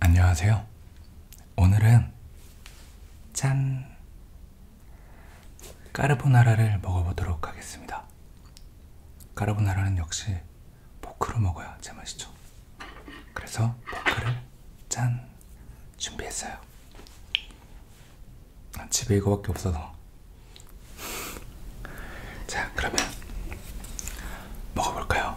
안녕하세요. 오늘은 짠! 까르보나라를 먹어보도록 하겠습니다. 까르보나라는 역시 포크로 먹어야 제맛이죠. 그래서 포크를 짠 준비했어요. 집에 이거밖에 없어서. 자, 그러면 먹어볼까요?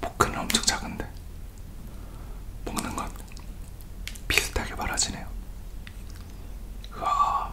포크는 엄청 작은데 먹는 것 비슷하게 말아지네요. 으아.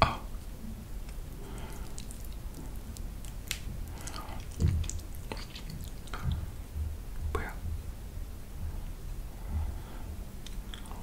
아. 뭐야?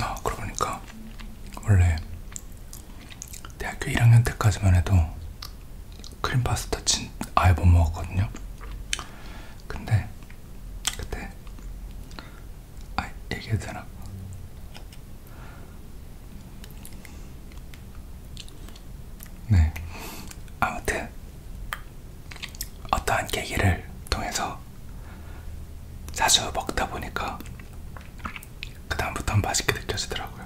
아, 그러고 보니까 원래 대학교 1학년 때까지만 해도 크림 파스타 진 아예 못 먹었거든요. 근데 그때 아 얘기해도 되나? 네. 아무튼 어떠한 계기를 통해서 자주 먹다 보니까 그 다음부터 맛있게 느껴지더라고요.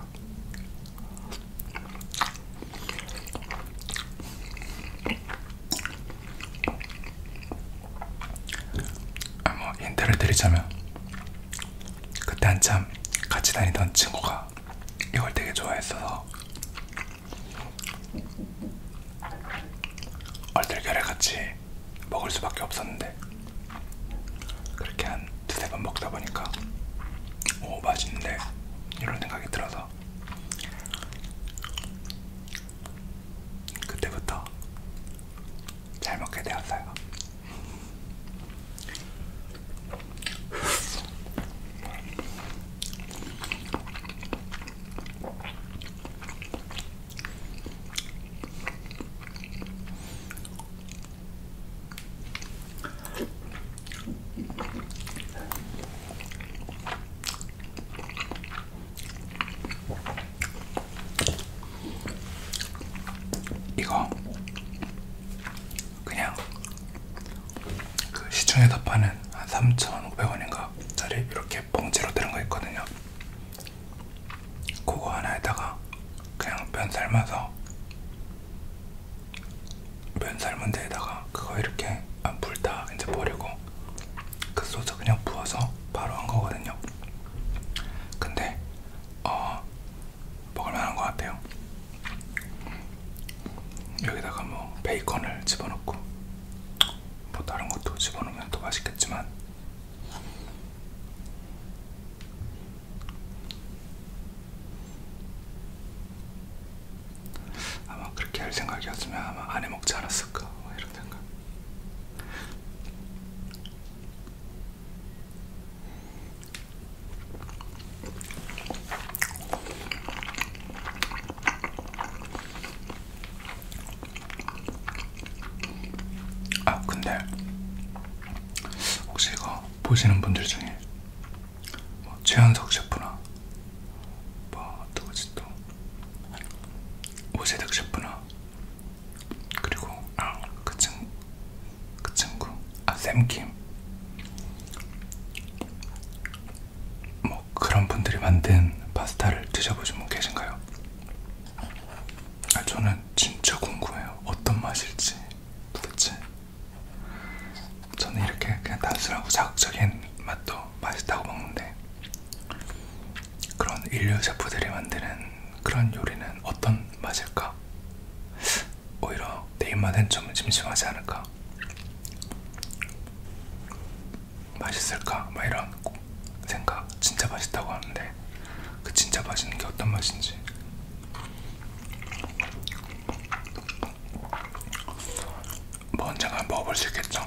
아, 뭐 인터를 드리자면 그때 한참 같이 다니던 친구가 이걸 되게 좋아했어서 얼떨결에 같이 먹을 수밖에 없었는데 그렇게 한 두세 번 먹다 보니까 오 맛있는데 이런 생각이 들어서 그때부터 잘 먹게 되었어요. 이거 그냥 그 시중에서 파는 한 3,500원인가 짜리 이렇게 봉지로 들은 거 있거든요. 그거 하나에다가 그냥 면 삶아서 면 삶은 데에다가 그거 이렇게 아, 물다 이제 버리고 그 소스 그냥 부어서 바로 한 거거든요. 근데 어 먹을만한 것 같아요. 여기다가 뭐 베이컨을 집어넣고 뭐 다른 것도 집어넣으면 더 맛있겠지만 아마 그렇게 할 생각이었으면 아마 안 해먹지 않았을까 뭐 이런 생각 아 근데 혹시 이거 보시는 분들 중에 뭐 최현석 셰프나 뭐 누구지 또 오세득 셰프나 그리고 아, 그, 친, 그 친구 아 샘킴 뭐 그런 분들이 만든 파스타를 드셔보신 분 계신가요? 아, 저는 진짜 궁금해요. 어떤 맛일지 도대체. 저는 이렇게 그냥 단순하고 자극적인 맛도 맛있다고 먹는데 그런 인류 셰프들이 만드는 그런 요리는 어떤 맛일까? 오히려 내 입맛엔 좀 심심하지 않을까? 맛있을까? 막 이런 생각 진짜 맛있다고 하는데 그 진짜 맛있는 게 어떤 맛인지 뭐 언젠가 먹어볼 수 있겠죠?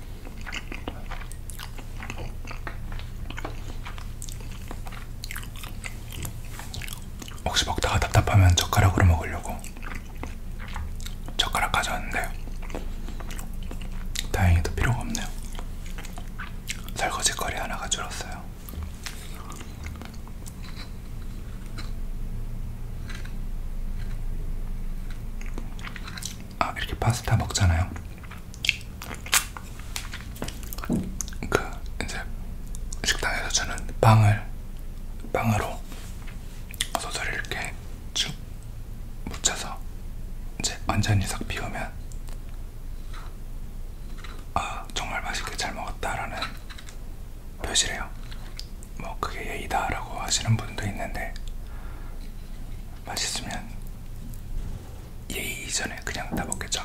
혹시 먹다가 답답하면 젓가락으로 먹으려고 젓가락 가져왔는데 다행히도 필요가 없네요. 설거지거리 하나가 줄었어요. 아, 이렇게 파스타 먹잖아요. 그 이제 식당에서 주는 빵을 빵으로 소스를 이렇게 쭉 묻혀서 이제 완전히 싹 비우면 아 정말 맛있게 잘 먹었다라는 표시래요. 뭐 그게 예의다라고 하시는 분도 있는데 맛있으면 예의 이전에 그냥 다 먹겠죠.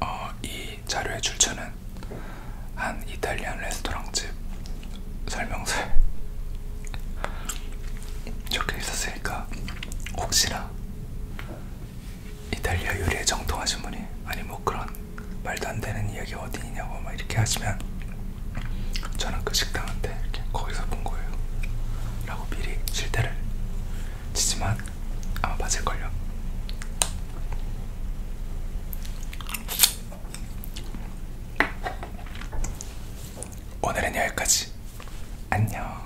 어, 이 자료의 출처는 한 이탈리안 레스토랑집 설명서에 적혀 있었으니까 혹시나 이탈리아 요리에 정통하신 분이 아니 뭐 그런 말도 안 되는 이야기 어디 있냐고 막 이렇게 하시면 저는 그 식당한테 이렇게 거기서 본 거예요 라고 미리 실대를 치지만 아마 맞을걸요 오늘은 여기까지 안녕.